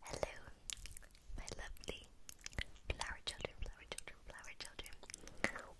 Hello, my lovely flower children, flower children, flower children.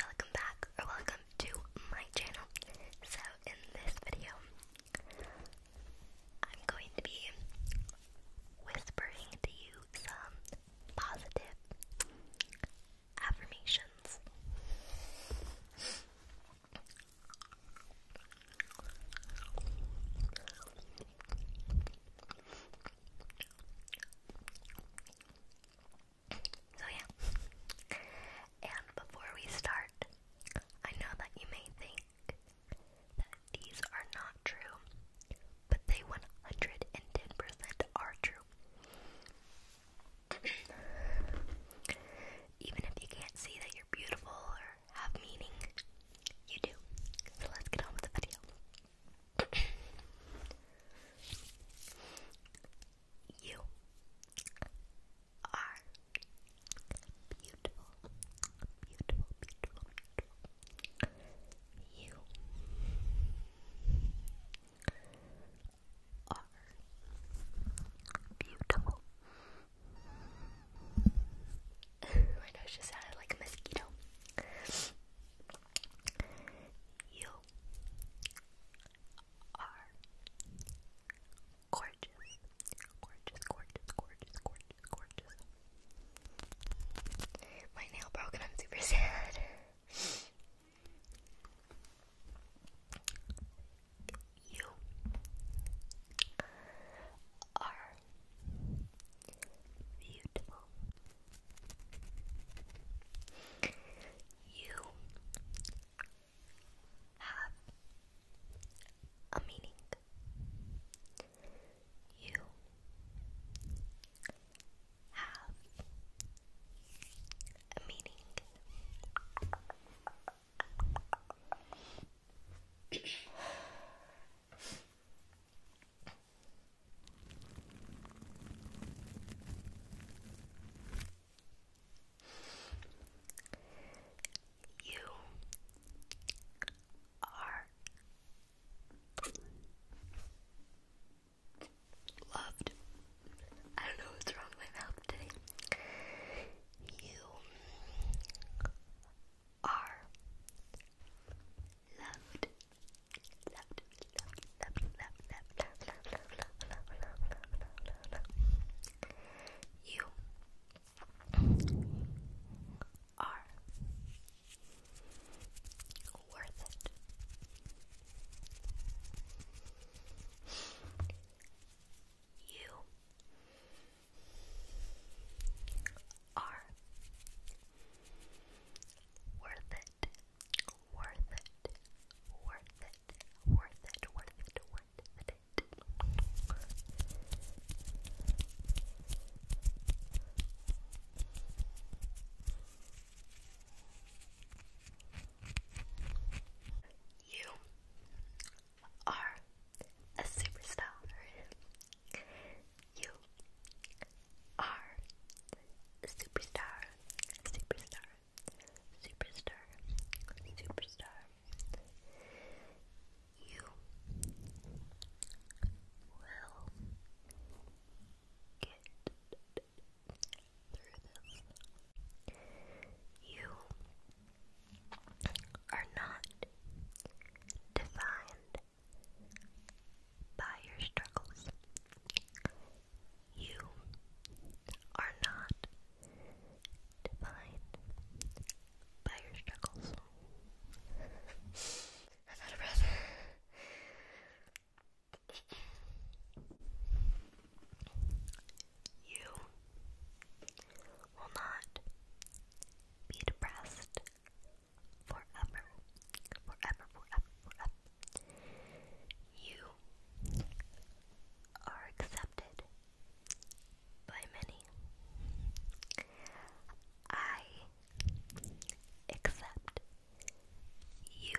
Welcome back or welcome to my channel. So, in this video, I'm going to be whispering to you some positive affirmations. So, yeah. And before we start, I know that you may think that these are not true, but they 110% are true. Even if you can't see that beautiful or have meaning. You do. So let's get on with the video. you are beautiful, beautiful, beautiful, You are beautiful, My nose just sounded like a mosquito. You are gorgeous. Gorgeous, gorgeous, gorgeous, gorgeous, gorgeous. My nail broke and I'm super sad you are beautiful. You have a meaning. You have a meaning. You are loved. I don't know what's wrong with my mouth today. You are loved. Loved, loved, loved, loved, loved, loved, loved, loved, loved, loved, loved, loved, You are worth it. You are worth it, worth it, worth it, worth it, worth it, worth it. You are a superstar. You are a superstar. Superstar. Superstar. Superstar. You will get through You are not defined by your struggles. You are not defined by your struggles. I'm out of breath. You will not be depressed forever, forever, forever, forever. You are accepted by many. I accept you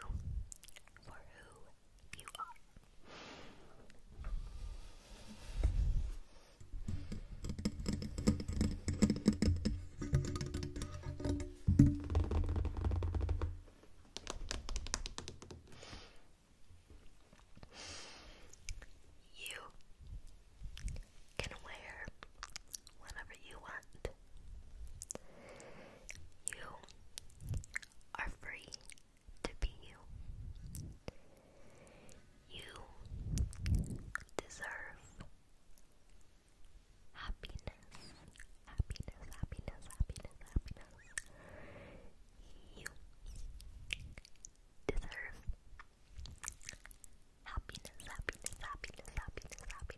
for who you are. can wear whatever you want. You are free to be you. You deserve happiness, happiness, happiness, happiness, happiness. You deserve happiness, happiness, happiness, happiness, happiness. You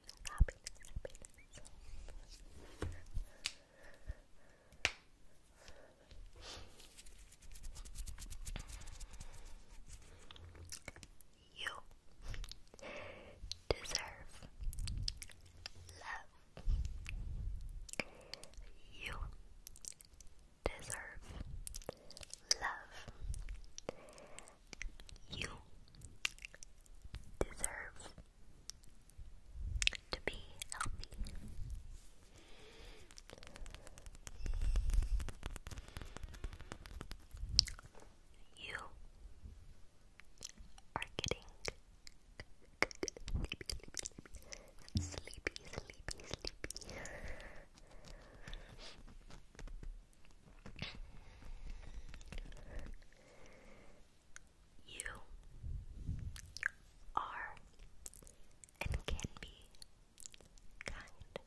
deserve love. You deserve love. You deserve to be healthy. You are getting sleepy, sleepy, sleepy. You are and can be kind.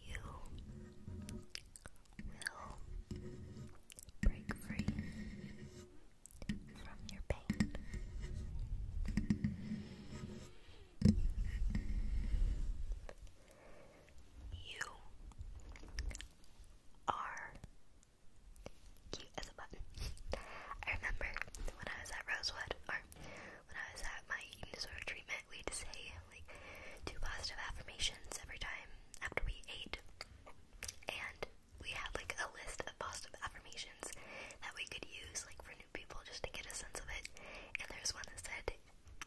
You will break free from your pain. You are cute as a button. I remember when I was at Rosewood, or when I was at my eating disorder treatment, we had to say like two positive affirmations every time after we ate, and we had like a list of positive affirmations that we could use like for for new people just to get a sense of it. And there's one that said,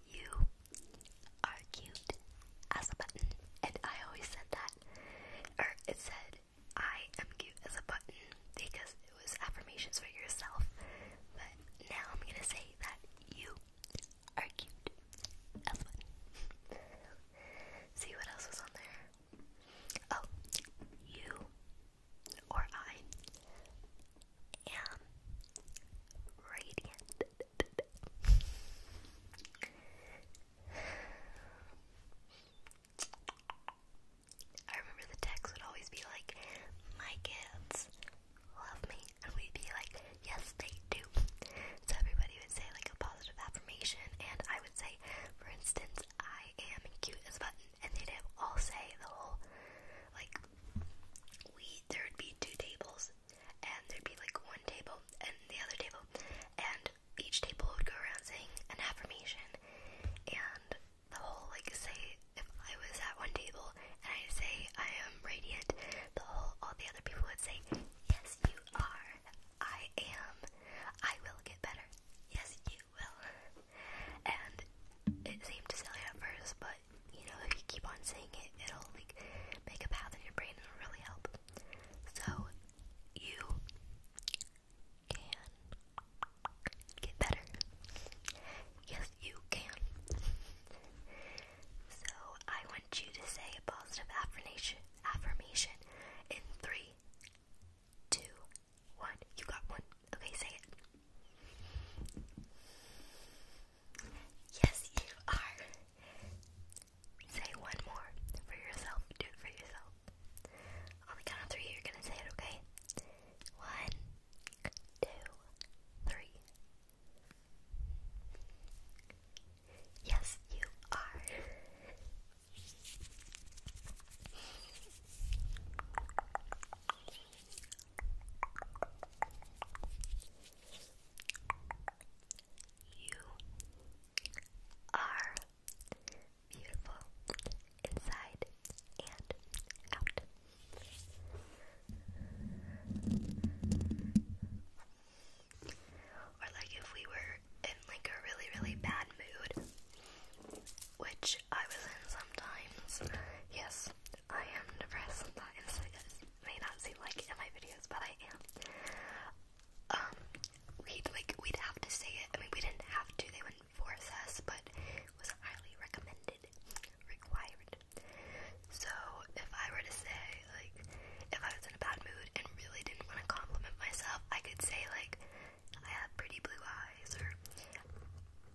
You are cute as a button. And I always said that. Or it said, I am cute as a button because it was affirmations for yourself. But now I'm gonna say that you are cute as a button. See what else was on there. Oh, you or I am radiant. I remember the text would always be like, My kids love me. And we'd be like, Yes, they do. So everybody would say like a positive affirmation, and I would say, For instance, I am cute as a button and they'd have all say the whole like we there would be two tables and there'd be like one table and the other table and each table would go around saying an affirmation and the whole like say if I was at one table and I say I am radiant, the whole all the other people would say, Yes you are, I am, I will get better, yes you will. And it seemed to silly at first, but you know, if you keep on saying it, it'll like make a path in your brain and it'll really help. So you can get better. Yes, you can. so I want you to say a positive affirmation affirmation in three, two, one. You got one. Okay, say it. Yes, you are. Say one more for yourself. Do it for yourself. On the count of three, you're gonna say it, okay? One, two, three. Yes, you are. You are beautiful inside and out or like if we were in like a really really bad mood, which I was in sometimes. Yes, I am depressed sometimes. It may not seem like in my videos, but I am. Um, we'd like we'd have to say it. I mean, we didn't have to. They wouldn't force us, but was highly recommended, required. So if I were to say like, if I was in a bad mood and really didn't want to compliment myself, I could say like, I have pretty blue eyes, or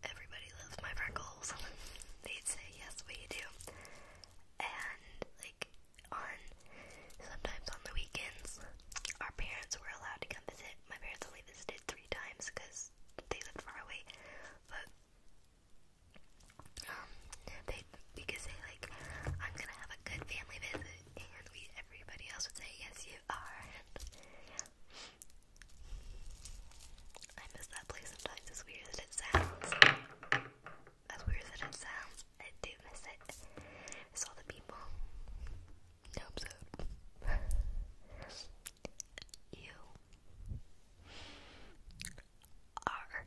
everybody loves my freckles. They'd say, yes, we do. And, like, on, sometimes on the weekends, our parents were allowed to come visit. My parents only visited three times because they lived far away, but, um, they, because they, like, I'm gonna have a good family visit, and we everybody else would say, "Yes, you are." And I miss that place sometimes. As weird as it sounds, as weird as it sounds, I do miss it. Miss all the people. No, I'm so. you are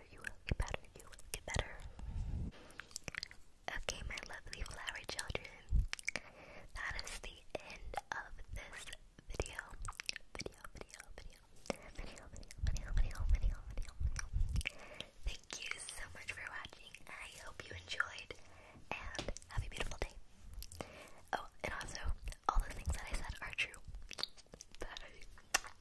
you will get better, you will get better. Okay, my lovely flower children, that is the end of this video. Video, video, video. Video, video, video, video, video, video. Thank you so much for watching. I hope you enjoyed and have a beautiful day. Oh, and also, all the things that I said are true. Bye.